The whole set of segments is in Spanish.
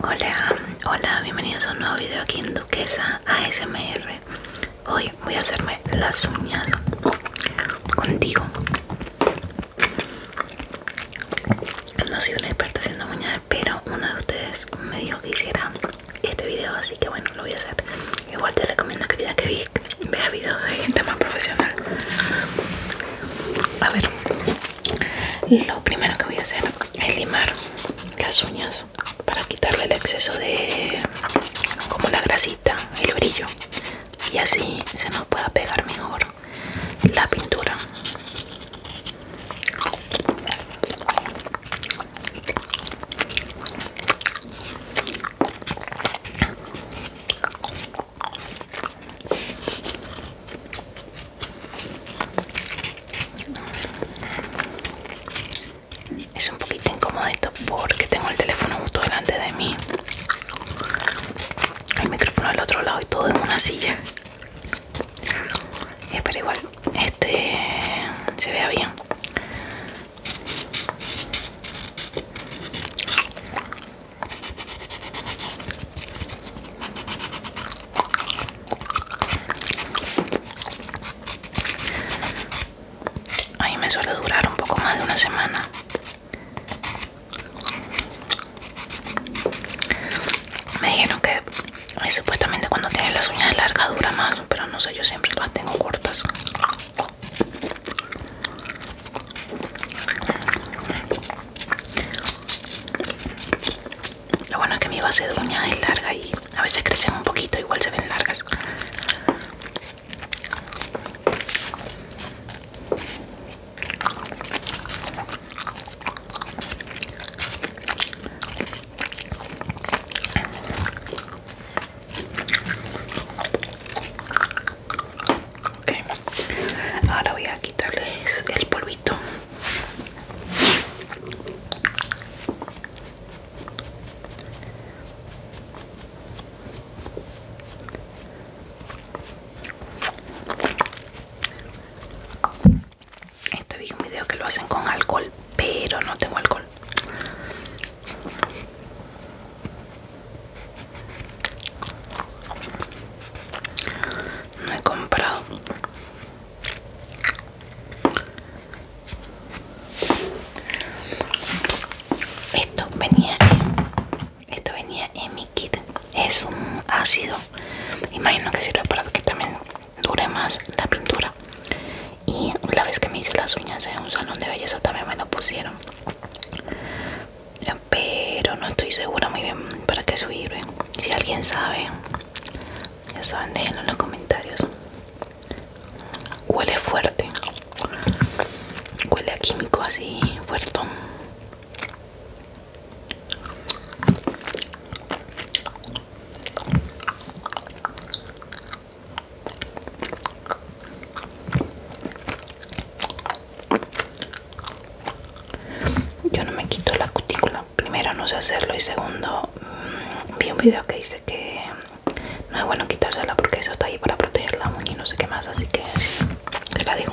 Hola, hola, bienvenidos a un nuevo video aquí en Duquesa ASMR. Hoy voy a hacerme las uñas contigo. No soy una experta haciendo uñas, pero uno de ustedes me dijo que hiciera este video, así que bueno, lo voy a hacer. Igual te recomiendo que que veas videos de gente más profesional. A ver. Lo primero que voy a hacer es limar las uñas para quitarle el exceso de como la grasita, el brillo y así se nos pueda pegar mejor la pintura. Es un poquito incómodo porque tengo el teléfono justo delante de mí, el micrófono al otro lado y todo en una silla. pero igual este se vea bien. A me suele durar un poco más de una semana. Me dijeron que eh, supuestamente cuando tienes las uñas largas dura más, pero no sé, yo siempre las tengo cortas. Lo bueno es que mi base de es larga y a veces crecen un poquito, igual se ven largas. Ahora voy a quitarles el polvito este vi un video que lo hacen con alcohol pero no tengo alcohol no he comprado esto venía esto venía en mi kit es un ácido imagino que sirve para que también dure más la pintura y la vez que me hice las uñas en un salón de belleza también me lo pusieron pero no estoy segura muy bien para qué subir si alguien sabe ya saben déjenlo en los comentarios huele fuerte huele a químico así fuerte yo no me quito la cutícula. Primero no sé hacerlo y segundo mm, vi un video que dice que mm, no es bueno quitársela porque eso está ahí para proteger la y no sé qué más. Así que te la digo.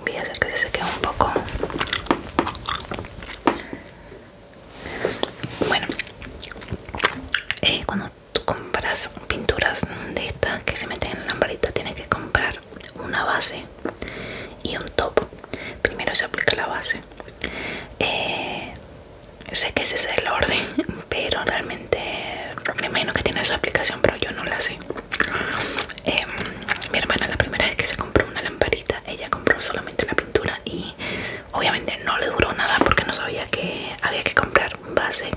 Voy a hacer que se seque un poco. Bueno, eh, cuando tú compras pinturas de estas que se meten en la lamparita tienes que comprar una base y un top primero se aplica la base eh, sé que ese es el orden pero realmente me imagino que tiene su aplicación pero yo no la sé em, mi hermana la primera vez que se compró una lamparita ella compró solamente la pintura y obviamente no le duró nada porque no sabía que había que comprar base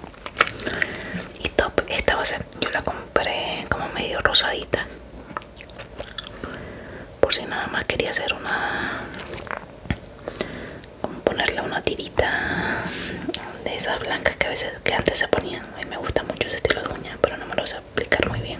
y top esta base yo la compré como medio rosadita por si nada más quería hacer una como ponerle una tirita de esas blancas que a veces que antes se ponían a me gusta mucho ese estilo de uña pero no me lo sé aplicar muy bien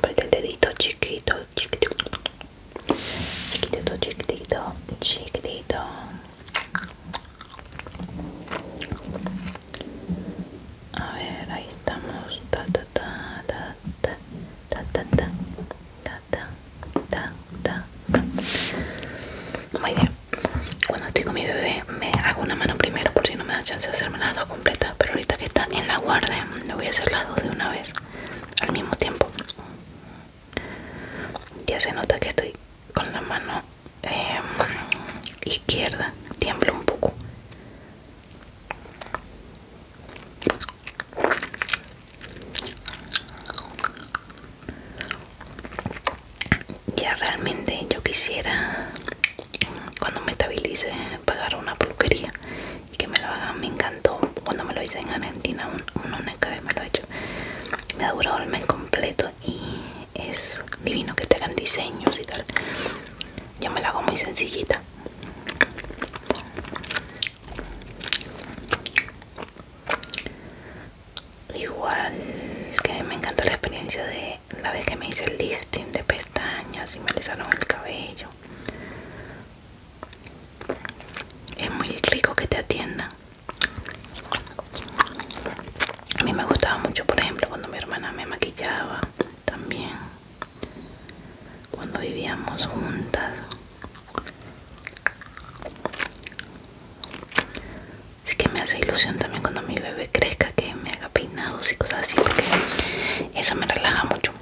Pues el dedito chiquito chiquitito, chiquitito, chiquitito, chiquitito. A ver, ahí estamos. Muy bien. Cuando estoy con mi bebé me hago una mano primero por si no me da chance de hacerme las dos completas, pero ahorita que está en la guarde, le voy a hacer las dos de una vez al mismo tiempo ya se nota que estoy con la mano em, izquierda tiemblo un poco ya realmente yo quisiera cuando me estabilice pagar una peluquería y que me lo hagan me encantó cuando me lo hice en Argentina un, una me lo he hecho me ha durado el mes completo y es divino que te hagan diseños y tal yo me lo hago muy sencillita igual que me encantó la experiencia de la vez que me hice el lifting de pestañas y me alisaron el cabello es muy rico que te atiendan. A mí me gustaba mucho, por ejemplo, cuando mi hermana me maquillaba también. Cuando vivíamos juntas. Es que me hace ilusión también cuando mi bebé crezca que me haga peinados y cosas así porque eso me relaja mucho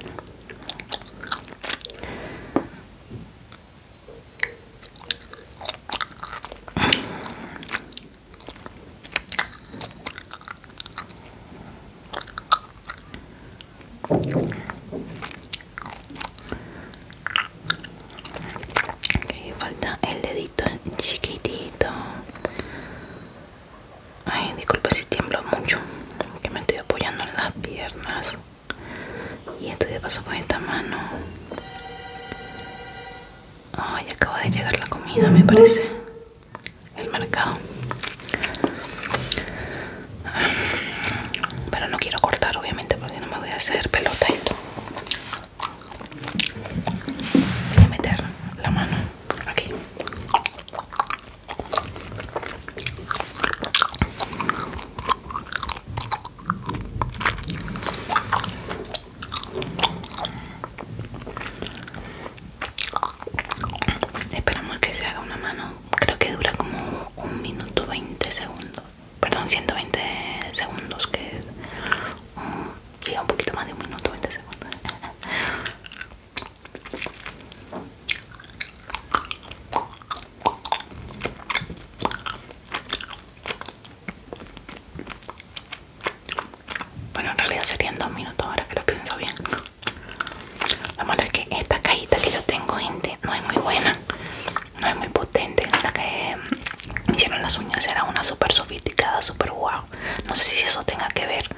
falta el dedito chiquitito Ay, disculpe si tiemblo mucho, que me estoy apoyando en las piernas. Y esto de paso con esta mano. Ay, acaba de llegar la comida, me parece. El mercado. Pero no quiero cortar, obviamente, porque no me voy a hacer pelota esto. Voy a meter la mano aquí. Esperamos que se haga una mano. Creo que dura como un minuto 20 segundos. Perdón, 120 segundos, que es. Oh, un poquito más de un minuto 20 segundos. Bueno, en realidad serían dos minutos ahora que lo pienso bien. Lo malo es que esta cajita que yo tengo, gente, no es muy buena, no es muy potente. La que hicieron las uñas era una súper sofisticada, súper Wow. No sé si eso tenga que ver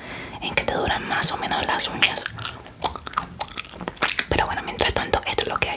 en que te duran más o menos las uñas. Pero bueno, mientras tanto, esto es lo que hay.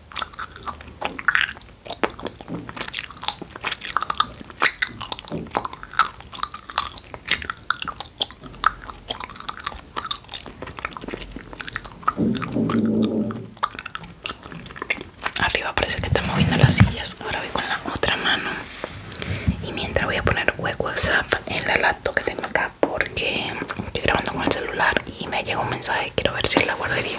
Arriba parece que está moviendo las sillas. Ahora voy con la otra mano. Y mientras voy a poner WhatsApp en la laptop que tengo acá porque estoy grabando con el celular y me llegó un mensaje. Quiero ver si es la guardería.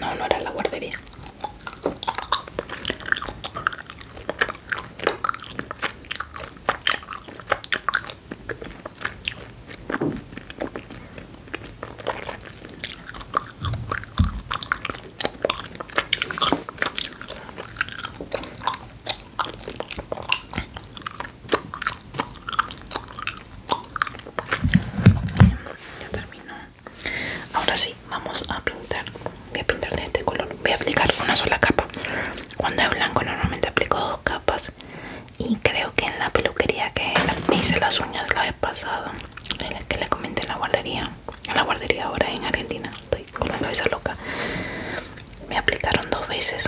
No, no era la guardería ya terminó. Ahora sí, vamos a pintar. Voy a pintar de este color. Voy a aplicar una sola capa. Cuando es blanco normalmente aplico dos capas. Y creo que en la peluquería que me hice las uñas la vez pasada la que le comenté en la guardería, en la guardería ahora en Argentina, estoy con la cabeza loca. Me aplicaron dos veces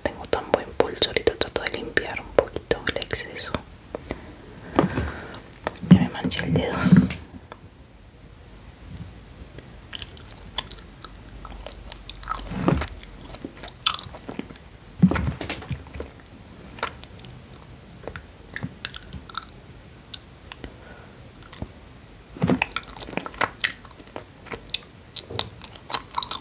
tengo tan buen pulso ahorita trato de limpiar un poquito el exceso ya me manché el dedo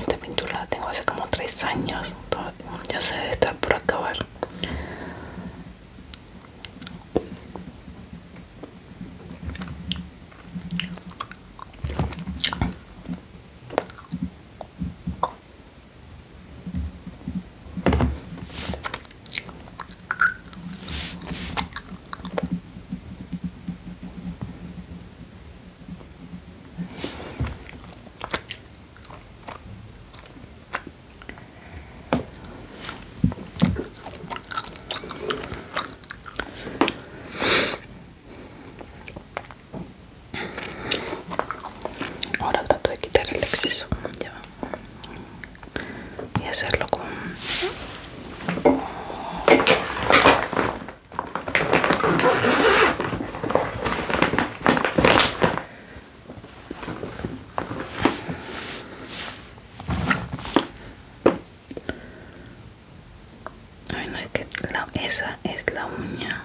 Esta pintura la tengo hace como tres años. Ya se debe estar por acabar. Ahora trato de quitar el exceso. Ya. Y hacerlo con Ay, no esa es la uña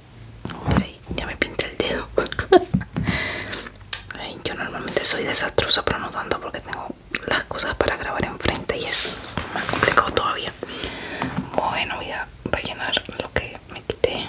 Ay, ya me pinté el dedo. yo normalmente soy desastrosa, pero no tanto porque tengo las cosas para grabar enfrente y es más complicado todavía. Bueno, voy a rellenar lo que me quité.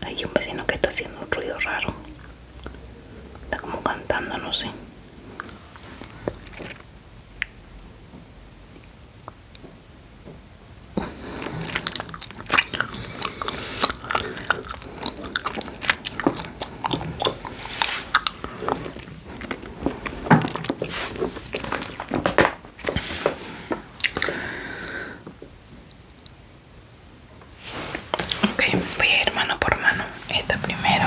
Hay un vecino que está haciendo un ruido raro. Está como cantando, no sé. Ok, voy a ir mano por mano. Esta primero.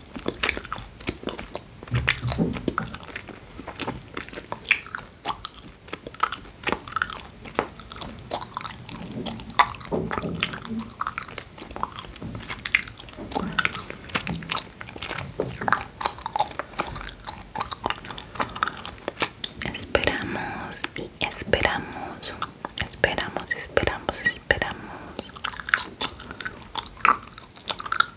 Esperamos y esperamos, esperamos, esperamos, esperamos.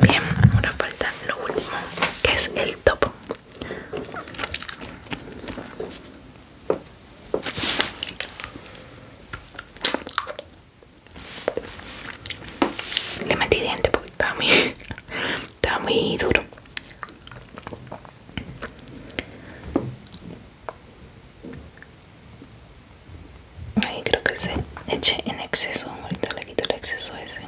Bien, ahora falta lo último, que es el topo Le metí diente puta a mi está muy duro Ahí creo que se eche en exceso. Ahorita le quito el exceso ese.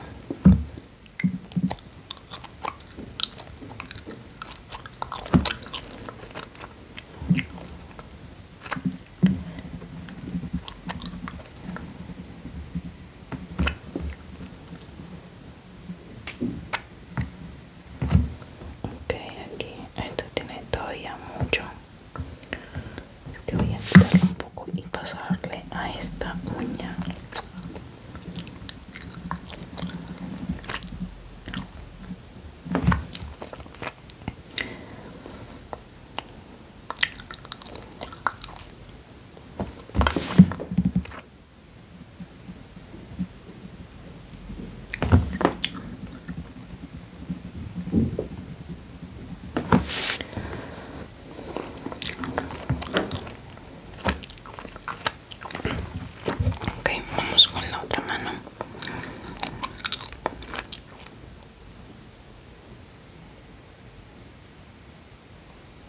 Ok, aquí esto tiene todavía mucho. Es que voy a tirar un poco y pasarle a esta uña. Ok, vamos con la otra mano.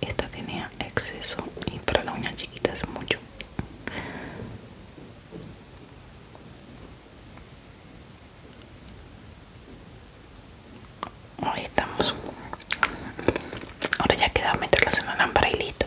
esta tenía exceso y para la uña chiquita es mucho Ahí estamos. Ahora ya queda meterlas en la lámpara y listo.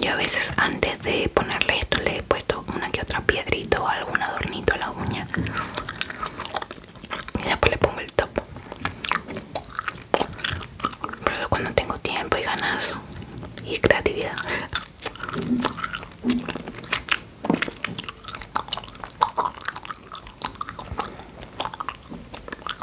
Yo a veces antes de ponerle esto le he puesto una que otra piedrita o algún adornito a la uña. Y después le pongo el top. Por eso cuando tengo tiempo y ganas y creatividad.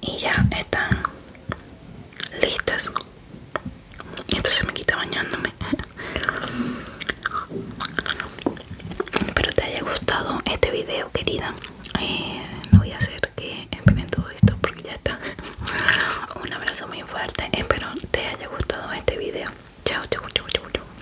y ya están listas esto se me quita bañándome espero te haya gustado este video querida no eh, voy a hacer que Empiecen todo esto porque ya está un abrazo muy fuerte espero te haya gustado este video chao chao chao chao chao